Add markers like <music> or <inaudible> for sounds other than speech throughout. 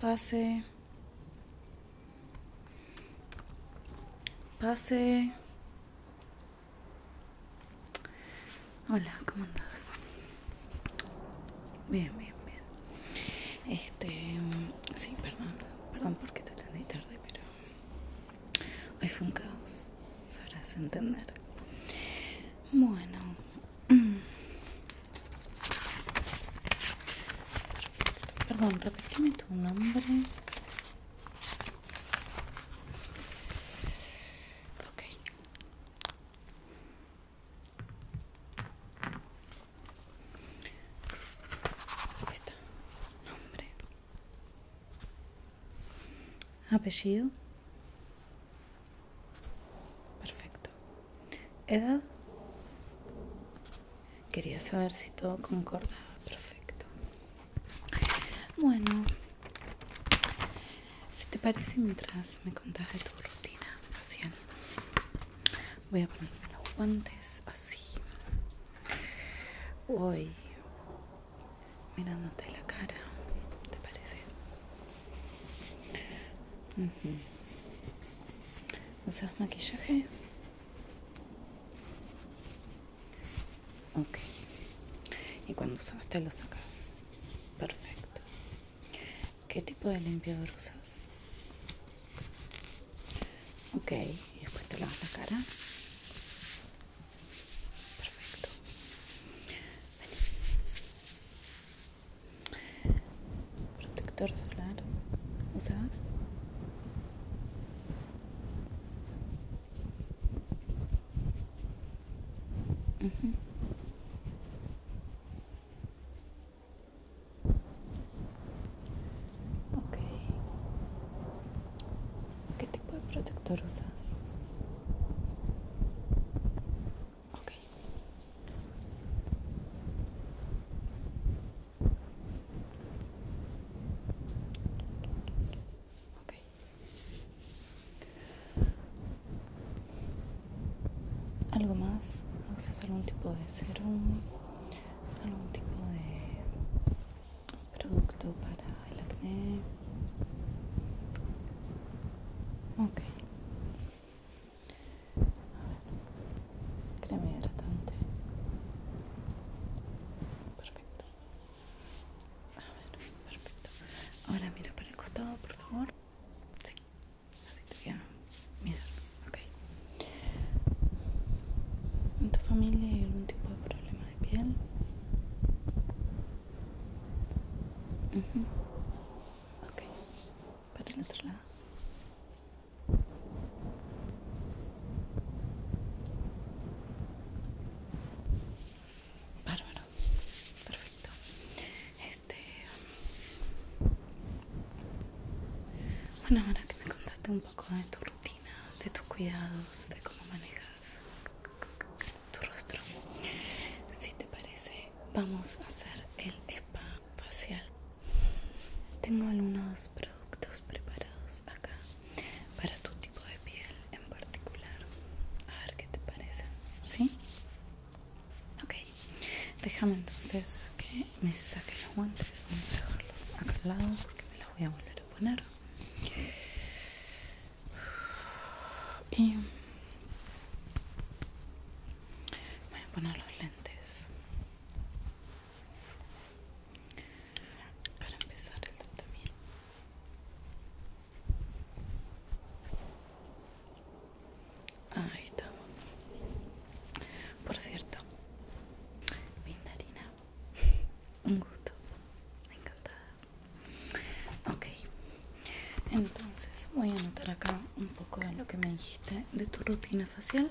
Pase. Pase. Hola, ¿cómo andas? Bien, bien, bien. Este, sí, perdón, perdón porque te atendí tarde, pero Hoy fue un caos, sabrás entender. Bueno, <clears throat> perdón, repíteme tu nombre. Ok. Ahí está, nombre. Apellido. Perfecto. Edad. Quería saber si todo concordaba. Perfecto. Bueno. Si te parece, mientras me contás de tu rutina facial, voy a ponerme los guantes así. Uy mirándote la cara, ¿te parece? ¿Usas maquillaje? Ok. Y cuando te lo sacas. Perfecto. ¿Qué tipo de limpiador usas? Ok, después te lavas la cara. Perfecto. ven, Protector solar. ¿Usas? ¿Qué tipo de protector usas? ¿Algo más? ¿Usas algún tipo de serum? algún tipo de producto para el acné ok a ver crema hidratante perfecto a ver perfecto ahora mira para el costado por favor sí así te queda ok ¿En tu familia hay algún tipo de problema de piel? Ok. Para el otro lado. Bárbaro. Perfecto. Este, bueno, ahora que me contaste un poco de tu rutina, de tus cuidados, de cómo manejas tu rostro, si te parece, vamos a hacer el spa facial. Tengo algunos productos preparados acá para tu tipo de piel en particular. A ver qué te parece, ¿sí? Ok, déjame entonces que me saque los guantes vamos a dejarlos acá al lado porque me los voy a volver a poner y voy a poner los lentes para empezar el tratamiento Ahí estamos. Por cierto, Mindarina, un gusto, encantada. Ok, entonces voy a anotar acá un poco de lo que me dijiste de tu rutina facial.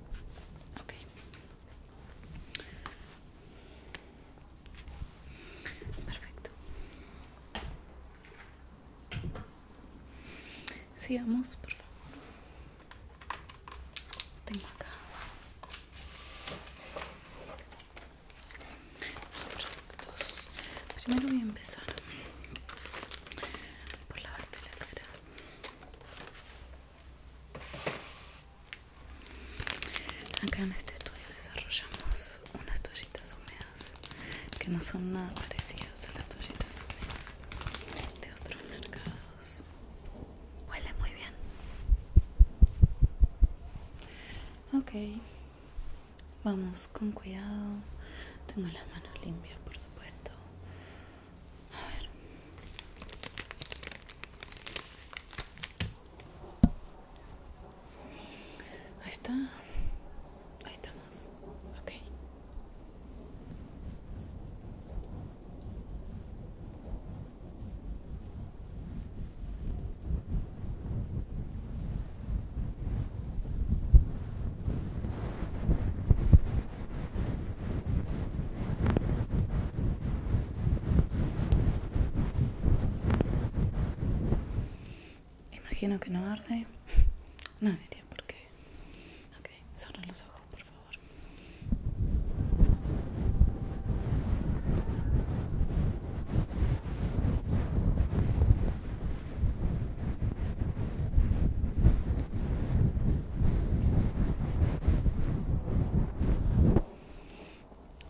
Ok. Perfecto. Sigamos, por favor. Tengo acá. Productos. Primero voy a empezar por lavarte la cara. Acá en este estudio desarrollamos unas toallitas húmedas que no son nada parecidas a las toallitas húmedas de otros mercados. Huele muy bien. Ok, vamos con cuidado. Tengo las manos limpias, por supuesto. A ver. Ahí está. Ahí estamos. Ok. Imagino que no arde. No diría por qué. Ok, cierra los ojos, por favor.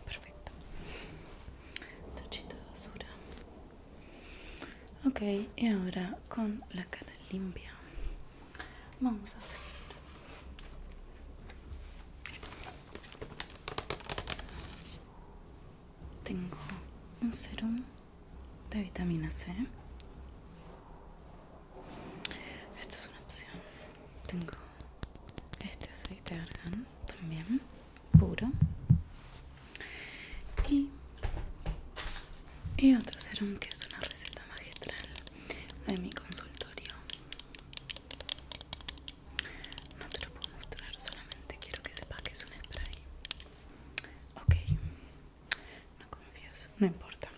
Perfecto. Tochito de basura. Ok, y ahora con la cara limpia vamos a hacer tengo un serum de vitamina C. Esta es una opción. Tengo este aceite de argán también, puro. Y, y otro serum que es una receta magistral de mi consultorio. No te lo puedo mostrar, solamente quiero que sepas que es un spray. Ok, no confías, no importa.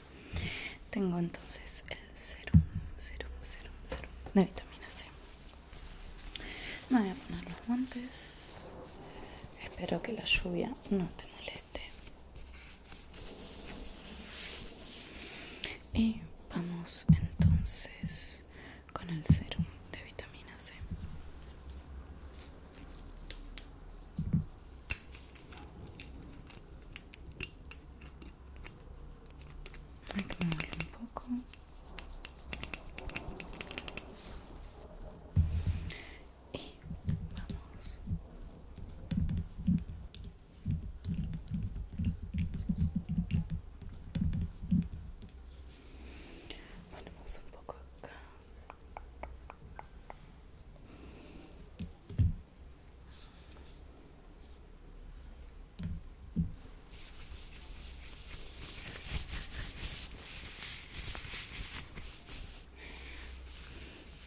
Tengo entonces el serum, serum, serum, de vitamina C. Me voy a poner los guantes. Espero que la lluvia no te moleste. Y vamos entonces con el serum de vitamina C. Hay que un poco. Y vamos. Vamos un poco acá.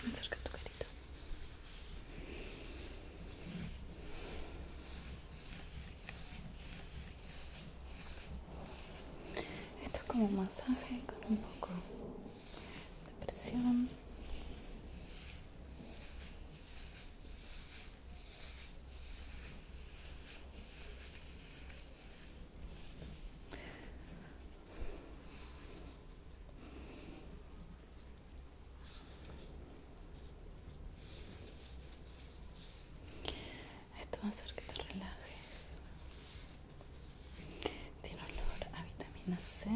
Acerca tu carita. Esto es como un masaje con un poco de presión. Esto va a hacer que te relajes. Tiene olor a vitamina C,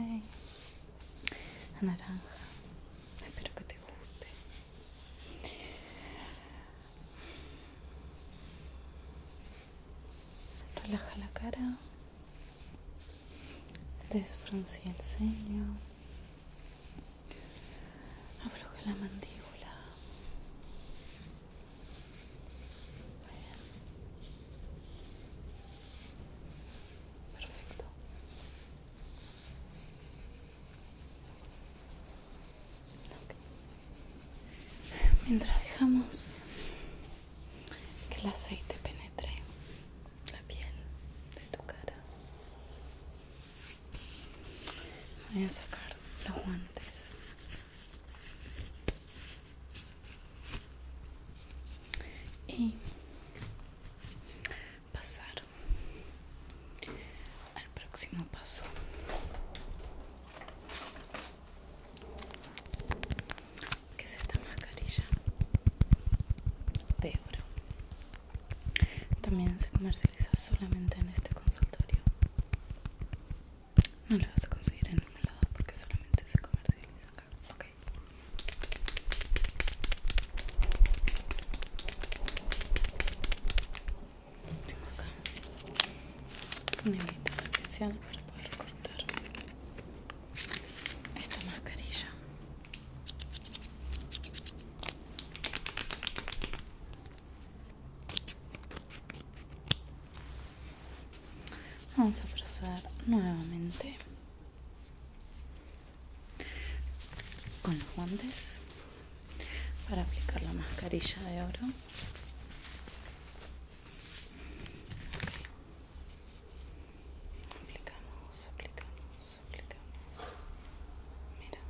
a naranja. Espero que te guste. Relaja la cara, desfrunce el ceño, Abroja la mandíbula. Perfecto. Mientras dejamos que el aceite penetre la piel de tu cara Voy a sacar los guantes. Y pasar al próximo paso. Que es esta mascarilla de oro. También se comercializa solamente en este consultorio. No lo vas a conseguir en ningún lado porque solamente se comercializa acá. Tengo acá una especial para poder cortar esta mascarilla. Vamos a procesar nuevamente con los guantes para aplicar la mascarilla de oro. Aplicamos, aplicamos. Mira.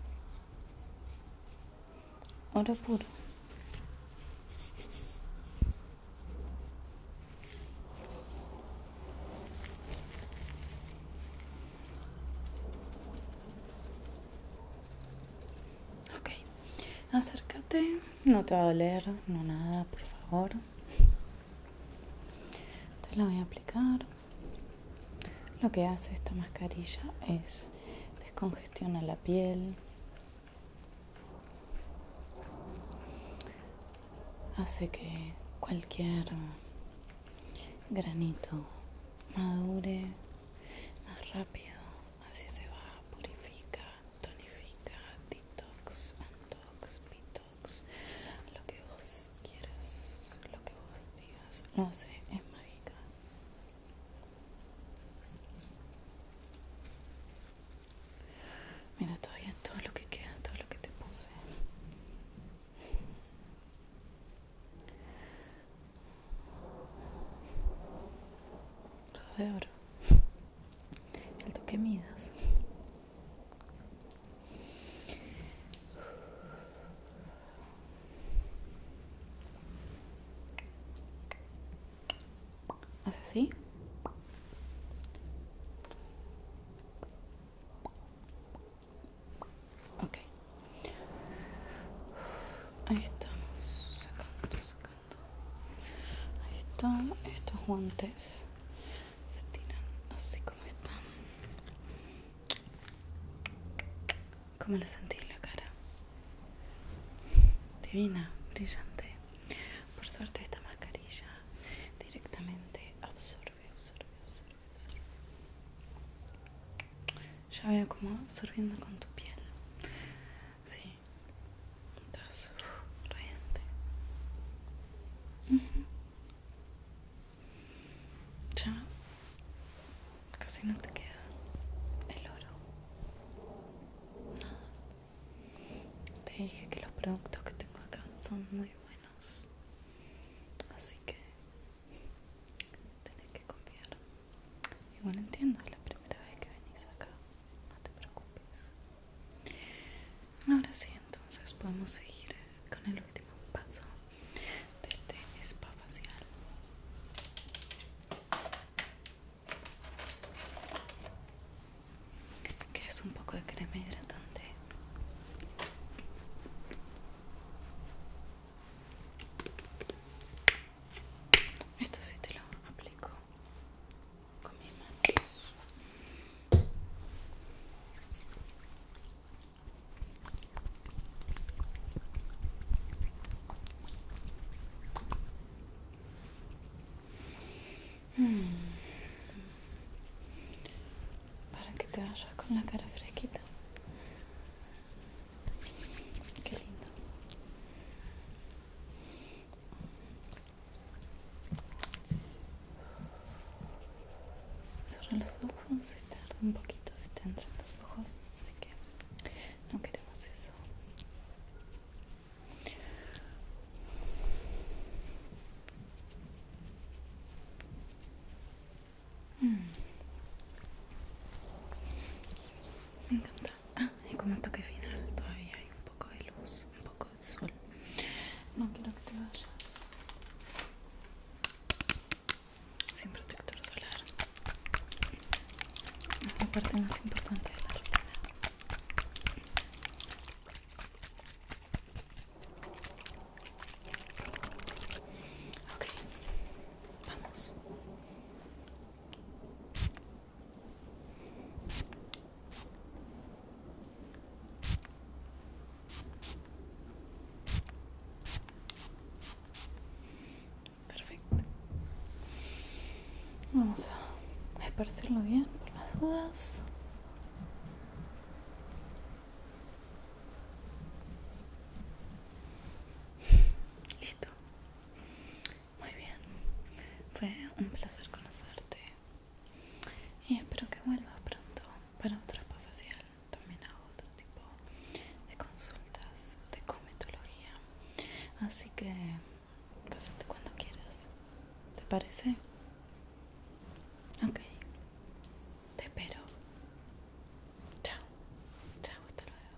Oro puro. acércate, no te va a doler, no nada, por favor. Te la voy a aplicar. Lo que hace esta mascarilla es descongestiona la piel, hace que cualquier granito madure más rápido, así se va, purifica, tonifica, detox, antox, pitox lo que vos quieras, lo que vos digas, no sé, es mágica. Mira, todavía todo lo que queda, todo lo que te puse. Sos de oro. El toque midas. Hace así. Okay. Ahí estamos sacando, sacando. Ahí están estos guantes se tiran así como están. ¿Cómo le sentís la cara? Divina, brillante. Por suerte esta mascarilla directamente absorbe, absorbe, absorbe, Ya veo como absorbiendo con tu piel. Sí. Estás radiante. Ya casi no te queda el oro. Nada. Te dije que los productos que tengo acá son muy buenos. Así que tenés que confiar. Igual entiendo, es la primera vez que venís acá. No te preocupes. Ahora sí, entonces podemos seguir con el último paso de este spa facial. Que es un poco de crema hidratante. Esto sí te lo aplico con mis manos. Para que te vayas con la cara fresquita. Qué lindo. Cerra los ojos un poquito si te entran los ojos, así que no queremos eso. Mm. Me encanta. Ah, y como toque final todavía hay un poco de luz, un poco no quiero que te vayas. Sin protector solar. Es la parte más importante de la rutina. Ok, vamos. Perfecto. Vamos a esparcirlo bien por las dudas. Listo. Muy bien. Fue un placer conocerte. Y espero que vuelvas pronto para otra spa facial. También hago otro tipo de consultas de cometología. Así que pásate cuando quieras. ¿Te parece? Ok. Te espero. Chao. Chao, hasta luego.